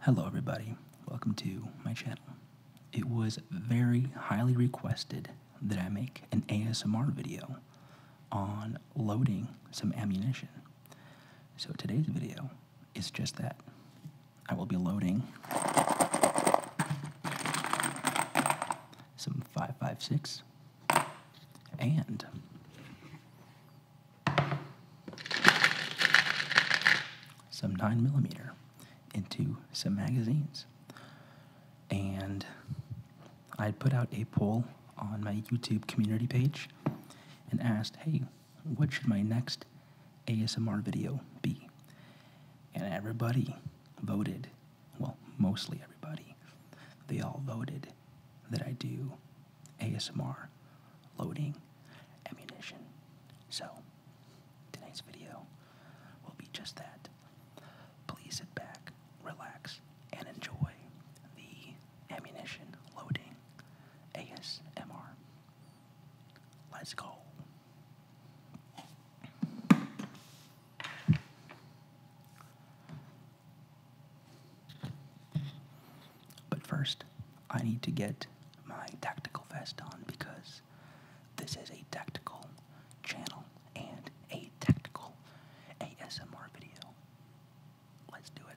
Hello, everybody. Welcome to my channel. It was very highly requested that I make an ASMR video on loading some ammunition. So today's video is just that. I will be loading some 5.56 and some 9 millimeter into some magazines. And I put out a poll on my YouTube community page and asked, hey, what should my next ASMR video be? And everybody voted, well, mostly everybody, they all voted that I do ASMR, loading, ammunition. So, tonight's video will be just that. Please sit back, relax, and enjoy the ammunition loading ASMR. Let's go. But first, I need to get my tactical vest on because this is a tactical channel and a tactical ASMR video. Let's do it.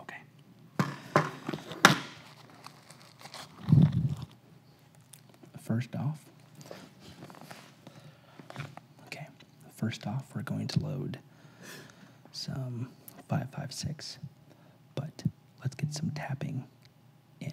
Okay. First off, okay, First off, we're going to load some 556, but let's get some tapping in.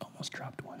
Almost dropped one.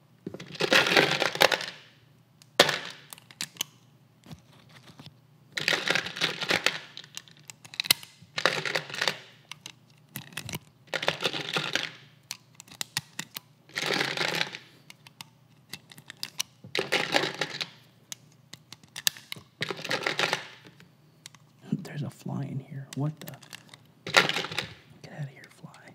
There's a fly in here. What the? Get out of here, fly.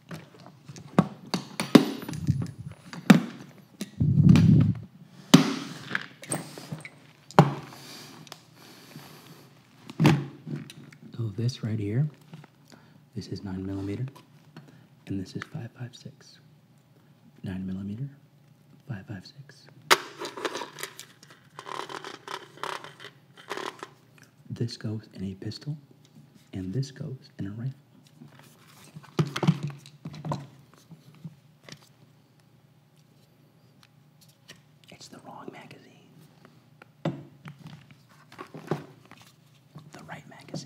So this right here, this is nine millimeter, and this is five five six. Nine millimeter, five five six. This goes in a pistol, and this goes in a rifle. It's the wrong magazine. The right magazine.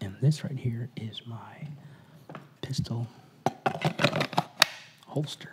And this right here is my pistol holster.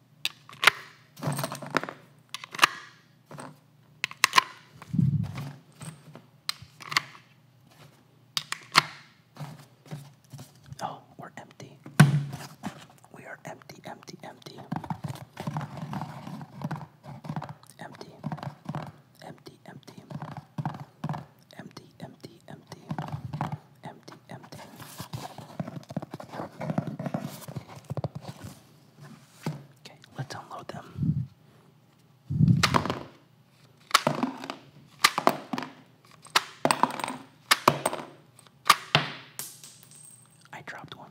Oh, we're empty. We are empty, empty, empty. Empty, empty, empty. Empty, empty, empty. Empty, empty. Okay, let's unload them. I dropped one.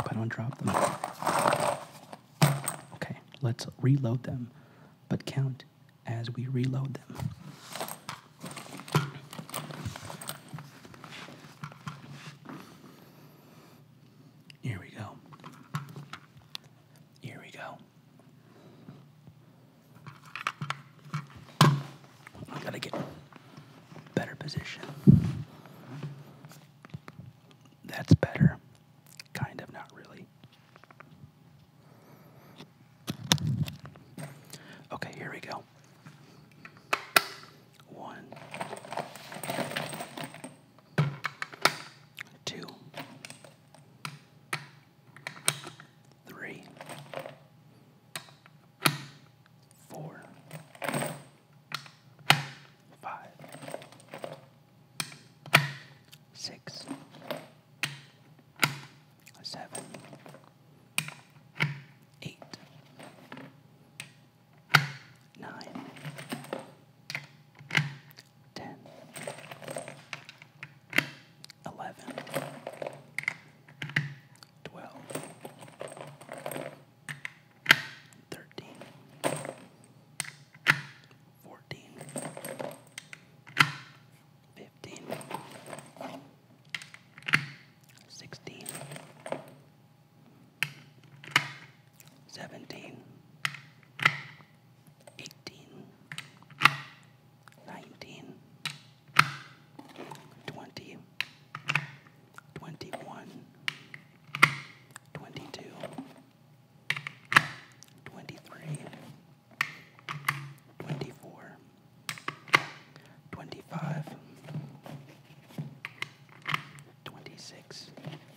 I don't drop them. Okay, let's reload them, but count as we reload them. Here we go. Here we go. gotta get better position. That's better. Kind of, not really. Okay, here we go. One, two, three, four, five, six, seven, eight nine, ten, eleven, twelve, thirteen, fourteen, fifteen seventeen, eighteen, nineteen, twenty, twenty-one, twenty-two, twenty-three, twenty-four, twenty-five, twenty-six.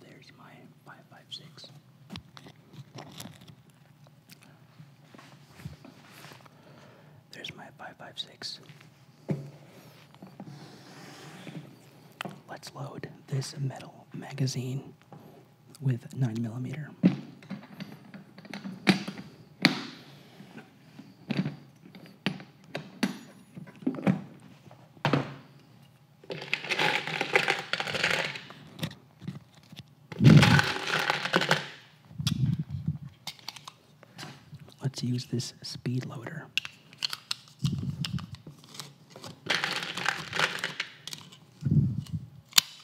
There's my five five six. There's my five five six. Let's load this metal magazine with 9 millimeter. Let's use this speed loader.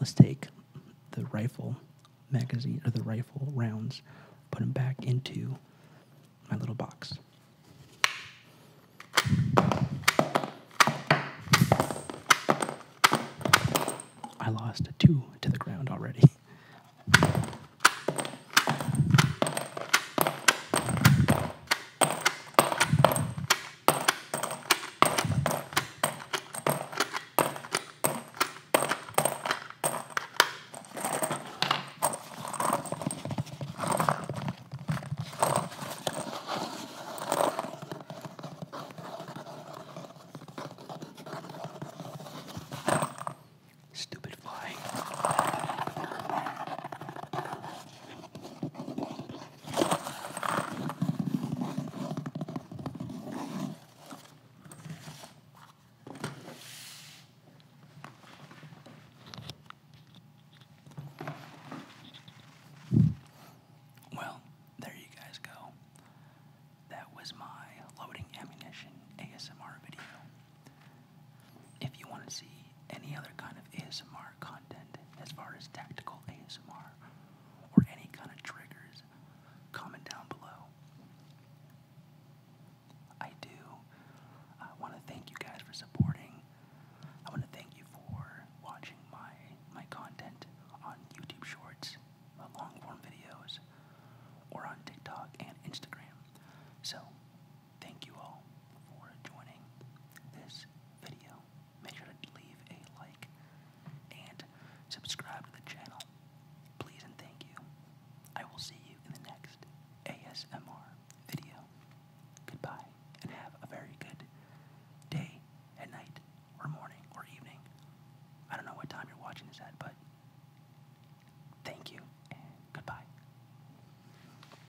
Let's take the rifle magazine or the rifle rounds, put them back into my little box. I lost two to the ground already. Stupid fly. Well, there you guys go. That was my loading ammunition ASMR video. If you want to see any other kind of ASMR content as far as tactical ASMR or any kind of triggers, comment down below. I do I want to thank you guys for supporting. I want to thank you for watching my my content on YouTube Shorts, long form videos, or on TikTok and Instagram. So Thank you all for joining this video. Make sure to leave a like and subscribe to the channel. Please and thank you. I will see you in the next ASMR video. Goodbye and have a very good day and night or morning or evening. I don't know what time you're watching this at, but thank you and goodbye.